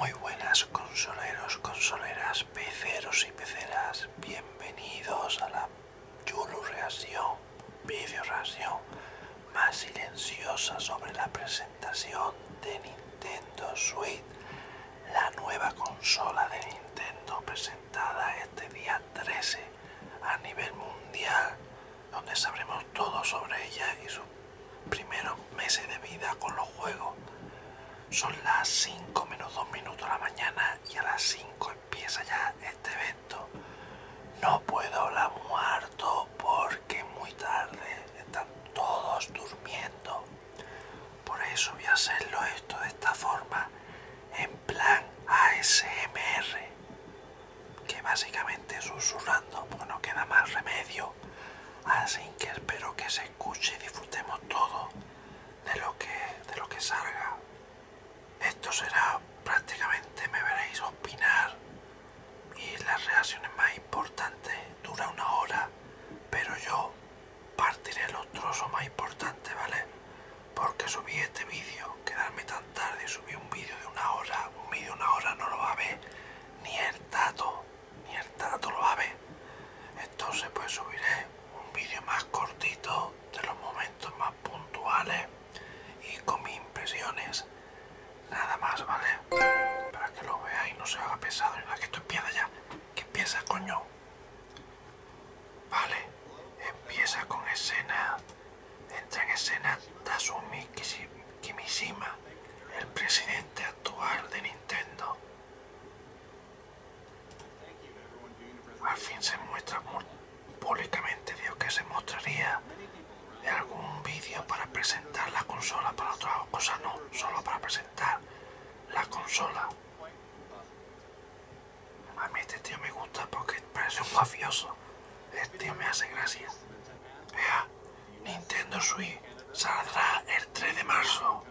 Muy buenas consoleros, consoleras, peceros y peceras, bienvenidos a la Yulu reacción, más silenciosa sobre la presentación de Nintendo Switch, la nueva consola de Nintendo presentada este día 13 a nivel mundial donde sabremos todo sobre ella y sus primeros meses de vida con los juegos. Son las 5 menos 2 minutos de la mañana y a las 5 empieza ya este evento. No puedo hablar muerto porque muy tarde están todos durmiendo. Por eso voy a hacerlo esto de esta forma, en plan ASMR que básicamente susurrando pues no queda más remedio así que espero que se escuche y disfrutemos todo de lo que de lo que salga esto será prácticamente me veréis opinar y las reacciones más importantes dura una hora pero yo partiré los trozos más importantes vale porque subí este vídeo, quedarme tan tarde subí un vídeo de una hora, un vídeo de una hora no lo va a ver ni el tato, ni el tato lo va a ver. Entonces pues subiré un vídeo más cortito de los momentos más puntuales y con mis impresiones. Nada más, ¿vale? Para que lo veáis, no se haga pesado. En la que esto empieza ya. Que empieza, coño. Vale, empieza con escena. Entra en escena Tasumi Kimishima, el presidente actual de Nintendo. Al fin se muestra públicamente, dios que se mostraría en algún vídeo para presentar la consola para otra cosa, no, solo para presentar la consola. A mí este tío me gusta porque parece un mafioso. Este tío me hace gracia. Vea, Nintendo Switch saldrá el 3 de marzo.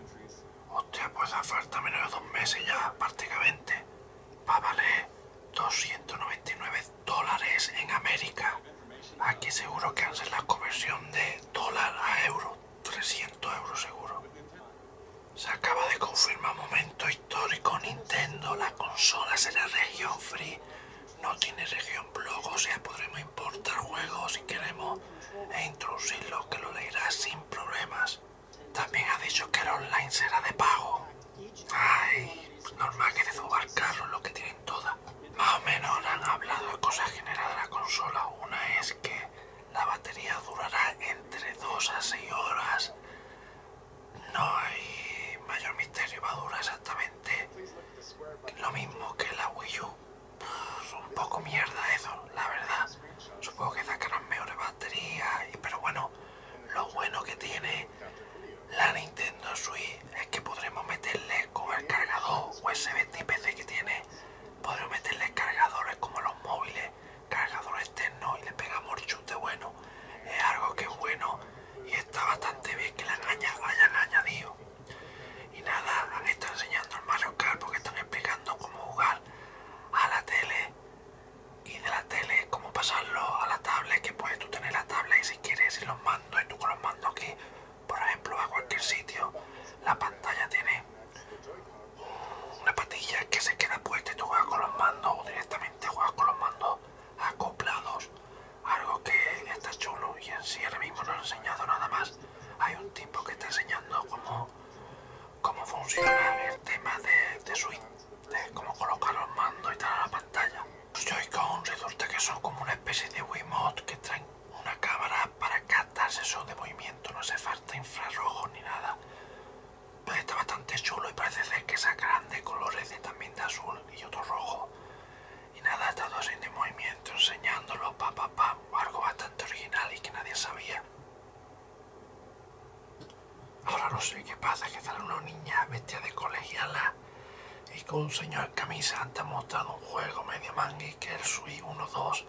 Hostia, pues da falta menos de dos meses ya, prácticamente. Va a valer 299 dólares en América. Aquí seguro que hacen la conversión de dólar a euro. 300 euros seguro. Se acaba de confirmar momento histórico Nintendo, la consola será región free no tiene región blog, o sea podremos importar juegos si queremos e introducirlos que lo leerá sin problemas. También ha dicho que el online será de pago. Ay, pues normal que de lo que tienen todas. Más o menos han hablado de cosas generales de la consola. Una es que la batería durará entre 2 a 6 horas no hay mayor misterio, va exactamente lo mismo que la Wii U. un poco mierda eso, la verdad. Supongo que sacarán mejores baterías, pero bueno, lo bueno que tiene la Nintendo Switch es que podremos meterle con el cargador USB tipo C que tiene, podremos meterle cargadores como los móviles cargador externo y le pegamos chute bueno es algo que es bueno y está bastante bien que la hayan añadido y nada han estado enseñando el Mario porque están explicando cómo jugar a la tele y de la tele cómo pasarlo a la tablet que puedes tú tener la tablet y si quieres y los mando y tú con los mando aquí por ejemplo a cualquier sitio la pantalla tiene una patilla que se queda puesta y tú juegas con los mandos o directamente juegas con los mandos acoplados algo que está chulo y en sí ahora mismo no he enseñado nada más hay un tipo que está enseñando cómo, cómo funciona el tema de, de swing de cómo colocar los mandos y tal a la pantalla los joy resulta que son como una especie de Wiimote que traen una cámara para captar eso de movimiento no hace falta infrarrojo ni nada pero pues está bastante chulo y parece ser que esa de colores de también de azul y otro rojo. Y nada, está todo de movimiento, enseñándolo, pa, pa, pa, algo bastante original y que nadie sabía. Ahora no sé qué pasa, que sale una niña bestia de colegiala y con un señor en camisa han mostrado un juego medio manga que el uno 1-2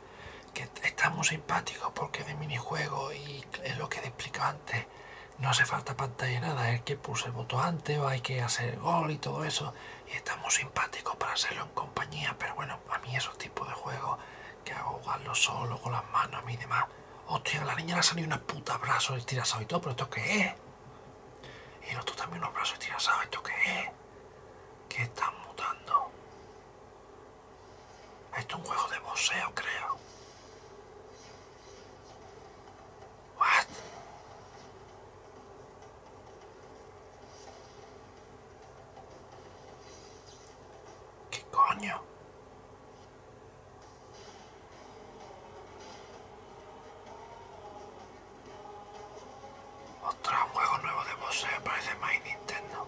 Estamos simpáticos muy simpático porque de minijuego y es lo que te explico antes. No hace falta pantalla nada, es que puse el botón antes o hay que hacer gol y todo eso. Y estamos simpáticos simpático para hacerlo en compañía, pero bueno, a mí esos tipos de juegos que hago jugarlo solo, con las manos a mí y demás. Hostia, a la niña le ha salido unas y brazos estirazados y todo, pero ¿esto qué es? Y los otro también unos brazos estirazados, ¿esto qué es? ¿Qué están mutando? Esto es un juego de museo, creo. What? ¿Qué coño? Otro juego nuevo de para parece más Nintendo.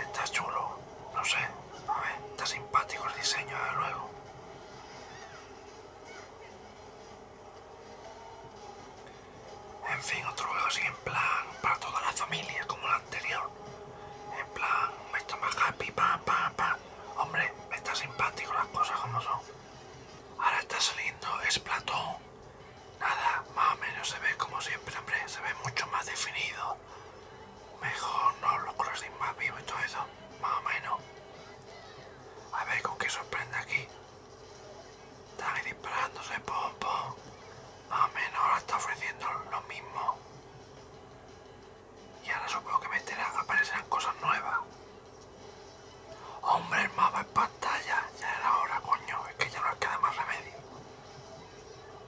Está chulo. No sé, a ver, está simpático el diseño, desde luego. En fin, otro juego así en plan para toda la familia, como el anterior. En plan, me está más happy, pa, pam, pam Hombre, está simpático las cosas como son. Ahora está saliendo Platón Nada, más o menos se ve como siempre, hombre, se ve mucho más definido mejor, ¿no? Los crossing más vivos y todo eso, más o menos. A ver con qué sorprende aquí. Está ahí disparándose, pom, Más o menos ahora está ofreciendo lo mismo. Y ahora supongo que meterá, aparecerán cosas nuevas. Hombre, el mapa en pantalla, ya era hora, coño, es que ya no queda más remedio.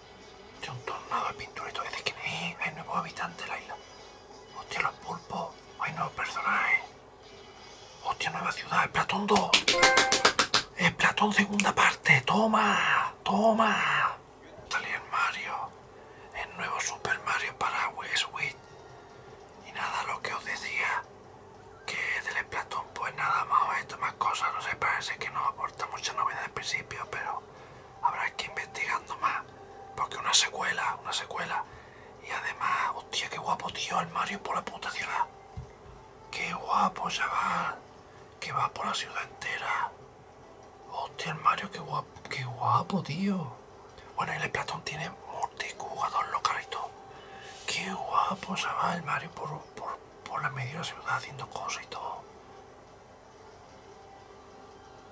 Hostia, un tornado de pintura y todo Hay nuevos habitantes de la isla. Hostia, los pulpos. Hay nuevos personajes. Hostia, nueva ciudad. Es Platón 2. Es Platón segunda parte. Toma. Toma. Salía el Mario. El nuevo Super Mario para Switch. Y nada, lo que os decía. Que del Platón pues nada más esto, más cosas. No sé, parece que no aporta mucha novedad al principio, pero habrá que ir investigando más. Porque una secuela, una secuela. Y además, hostia, qué guapo, tío, el Mario por la puta ciudad. Qué guapo, chaval. Que va por la ciudad entera. Hostia, el Mario, qué guapo, qué guapo, tío. Bueno, y el Platón tiene multijugador lo y Qué guapo, chaval, el Mario por, por, por la media ciudad haciendo cosas y todo.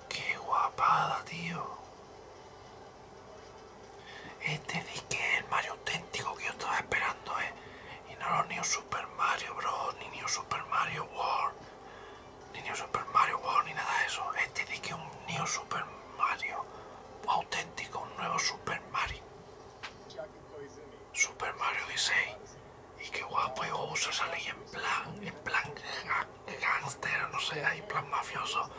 Qué guapada, tío. Este sí que es el Mario auténtico que yo estaba esperando, ¿eh? Y no los New Super Mario Bros, ni New Super Mario World, ni New Super Mario World, ni nada de eso. Este sí que es un New Super Mario auténtico, un nuevo Super Mario. Super Mario 16. Y qué guapo, y Bowser esa en plan, en plan gangster, no sé, ahí plan mafioso.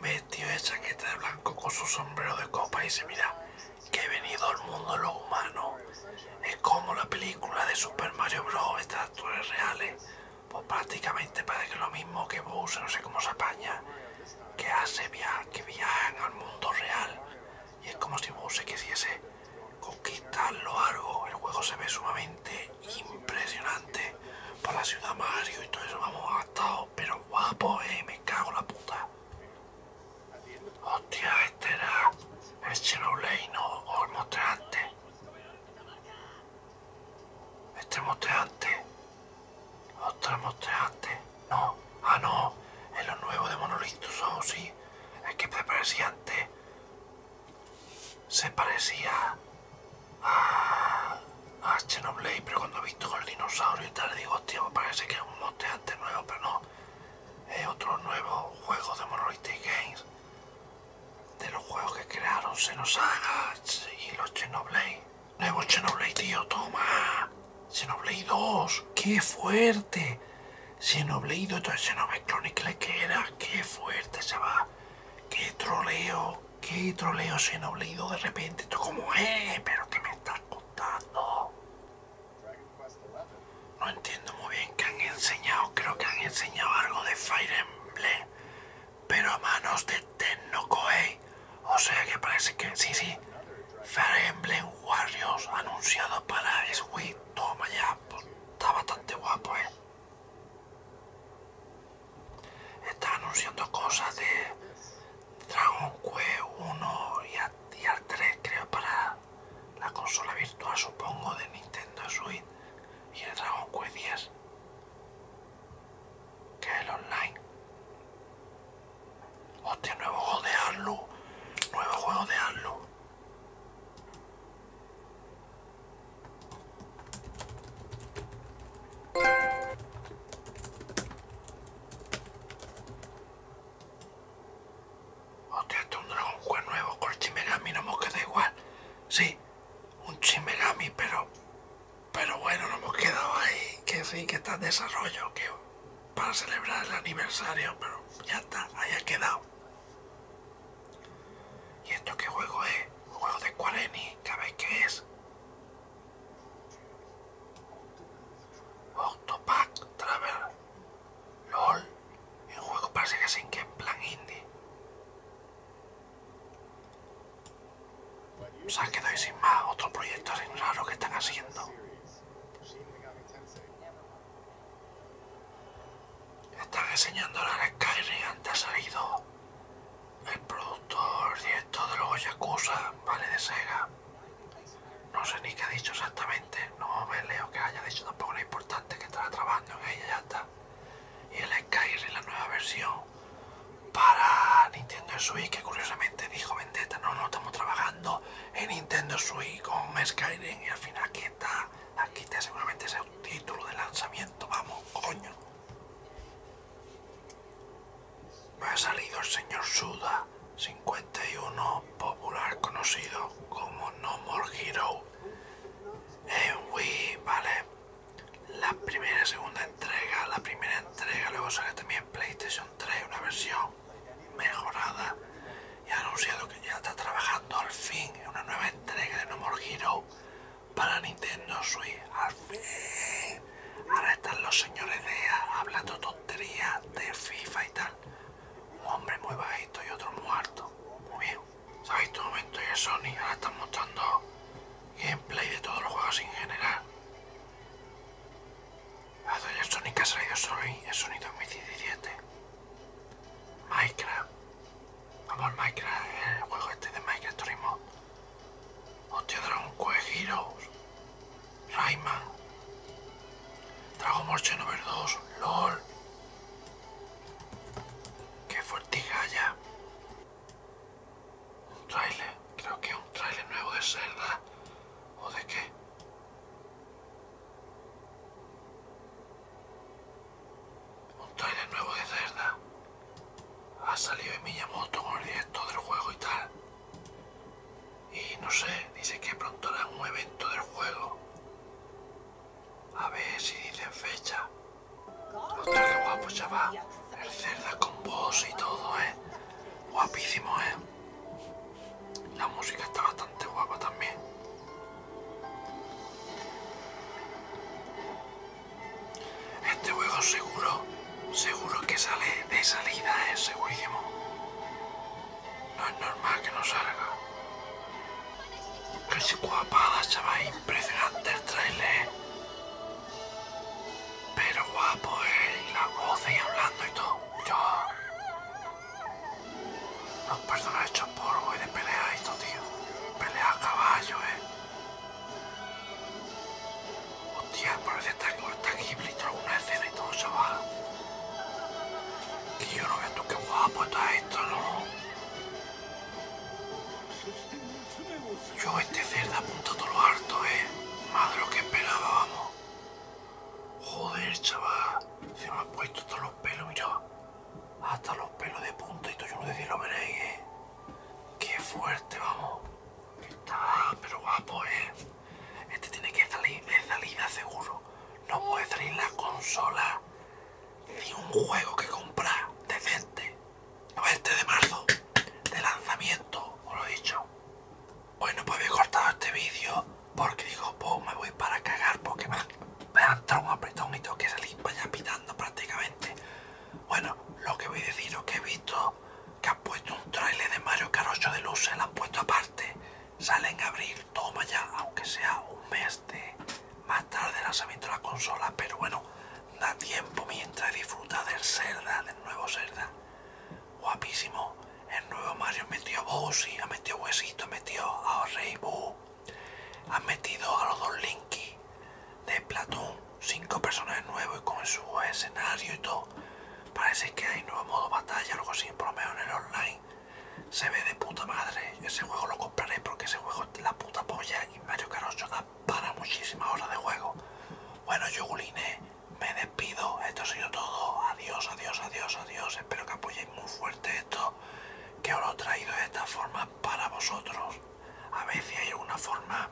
Vestido de chaqueta de blanco con su sombrero de copa y dice, mira, que he venido al mundo de los humanos. Es como la película de Super Mario Bros. Estas actores reales. Pues prácticamente parece lo mismo que Bowser, no sé cómo se apaña. Que hace via que viajan al mundo real y es como si se quisiese conquistarlo algo. El juego se ve sumamente impresionante por la ciudad Mario y todo eso. Vamos, a pero guapo, eh. Me cago la puta. Hostia, este era el ley no, o el mostreante Este mostrante. Otro No, Ah, no, es lo nuevo de Monolith o oh, sí. Es que se parecía antes. Se parecía a, a Chernobyl, pero cuando he visto con el dinosaurio y tal, digo, hostia, parece que es un monte antes nuevo, pero no. Es otro nuevo juego de Monolith Games. De los juegos que crearon Xenosaga y los Chernobyl, Nuevo Chernobyl, tío, toma. Xenoblade 2, qué fuerte. Xenoblade 2, todo es Xenoblade Chronicles que era, qué fuerte se va. Qué troleo, qué troleo Xenoblade 2 de repente. Esto como, eh, pero ¿qué me estás contando? No entiendo muy bien que han enseñado, creo que han enseñado algo de Fire Emblem, pero a manos de Tenno Koei. O sea que parece que, sí, sí, Fire Emblem Warriors anunciado para Switch. Toma ya, pues, está bastante guapo, eh. Está anunciando cosas de Dragon Quest 1 y al 3, creo, para la consola virtual, supongo, de Nintendo Switch y el Dragon Quest 10, que es el online. Hostia, nuevo juego de Halo, Nuevo juego de Halo. Hostia, esto es un Dragon Quest nuevo con el Chimerami, no hemos quedado igual. Sí, un Chimegami, pero. Pero bueno, no hemos quedado ahí. Que sí, que está en desarrollo, que para celebrar el aniversario, pero ya está, ahí ha quedado. ¿Y esto qué juego es? Un juego de Square que ¿sabéis qué es? Octopack Travel LOL El juego parece que sin que en plan indie O sea, quedo sin más otros proyecto raros raro que están haciendo están enseñando la Skyrim antes ha salido el productor directo de los Yakuza, ¿vale? De Sega. No sé ni qué ha dicho exactamente, no me leo que haya dicho tampoco lo importante que estará trabajando en ella, ya está. Y el Skyrim, la nueva versión para Nintendo Switch, que curiosamente dijo Vendetta, no, no estamos trabajando en Nintendo Switch con Skyrim y al final aquí está, aquí está seguramente ese título de lanzamiento, vamos, coño. Me ha salido el señor Suda, 51, popular conocido como No More Hero. En eh, Wii, vale. La primera y segunda entrega, la primera entrega, luego sale también PlayStation trae una versión mejorada y ha anunciado que ya está trabajando al fin una nueva entrega de No More Hero para Nintendo Switch. Al fin, ahora están los señores de hablando tonterías de FIFA y tal. Un hombre muy bajito y otro muerto. Muy bien. ¿Sabéis tu momento son Sony? Ahora están mostrando gameplay de todos los juegos en general. A el Sonic ha salido solo en Sonic 2017. Minecraft. Vamos, al Minecraft, el juego este de Minecraft Turismo. Hostia, Dragon Quest Heroes. Rayman. Dragon Ball Xenoverse 2. LOL. Qué ya Un trailer. Creo que es un trailer nuevo de Zelda. ¿O de qué? Un trailer nuevo de cerda. Ha salido en Miyamoto con el directo del juego y tal. Y no sé, dice que pronto hará un evento del juego. A ver si dicen fecha. Ostras, que guapo, chaval. El Zelda con voz y todo, ¿eh? Guapísimo, ¿eh? La música está bastante guapa también. Este juego seguro, seguro que sale de salida, es ¿eh? segurísimo. No es normal que no salga. Casi guapada, chaval, impresionante el trailer. ¿eh? Pero guapo, ¿eh? Y la voz y hablando y todo. Yo... Los personajes hechos por y de pelea y todo, tío. Pelea a caballo, ¿eh? Hostia, parece estar con esta y una escena y todo, chaval. Que yo no veo tú qué guapo está esto, ¿no? Yo este cerdo punto todo lo harto, eh. Más lo que esperaba, vamos. Joder, chaval. Se me ha puesto todo los pelos, mira. Hasta los pelos de punta y todo yo no sé lo veréis, eh. Qué fuerte, vamos. Está pero guapo, eh. Este tiene que salir de salida seguro. No puede salir la consola. Ni un juego que comprar decente. 20 de marzo de lanzamiento, os lo he dicho. Bueno, pues haber cortado este vídeo porque digo, pues me voy para cagar porque me, han ha un apretón y que salir para pitando prácticamente. Bueno, lo que voy a decir es que he visto que han puesto un trailer de Mario Kart de de se lo han puesto aparte. Sale en abril, toma ya, aunque sea un mes de más tarde De lanzamiento de la consola, pero bueno, da tiempo mientras disfruta del Zelda, del nuevo Zelda. Guapísimo. El nuevo Mario metió metido a ha metido Huesito, ha metido a Rey ha metido a los dos Linky de Platón. Cinco personas nuevos y con su escenario y todo. Parece que hay nuevo modo batalla, algo así, por lo en el online. Se ve de puta madre. Ese juego lo compraré porque ese juego es la puta polla y Mario Kart para muchísimas horas de juego. Bueno, yo, Guline me despido. Esto ha sido todo. Adiós, adiós, adiós, adiós. Espero que apoyéis muy fuerte esto que os lo he traído de esta forma para vosotros. A ver si hay alguna forma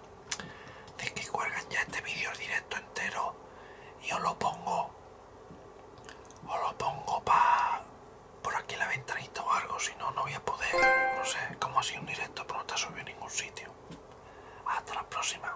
de que cuelgan ya este vídeo directo entero y os lo pongo. Os lo pongo para por aquí la ventanita o algo, si no, no voy a poder. No sé, como sido un directo, pero no te subido en ningún sitio. Hasta la próxima.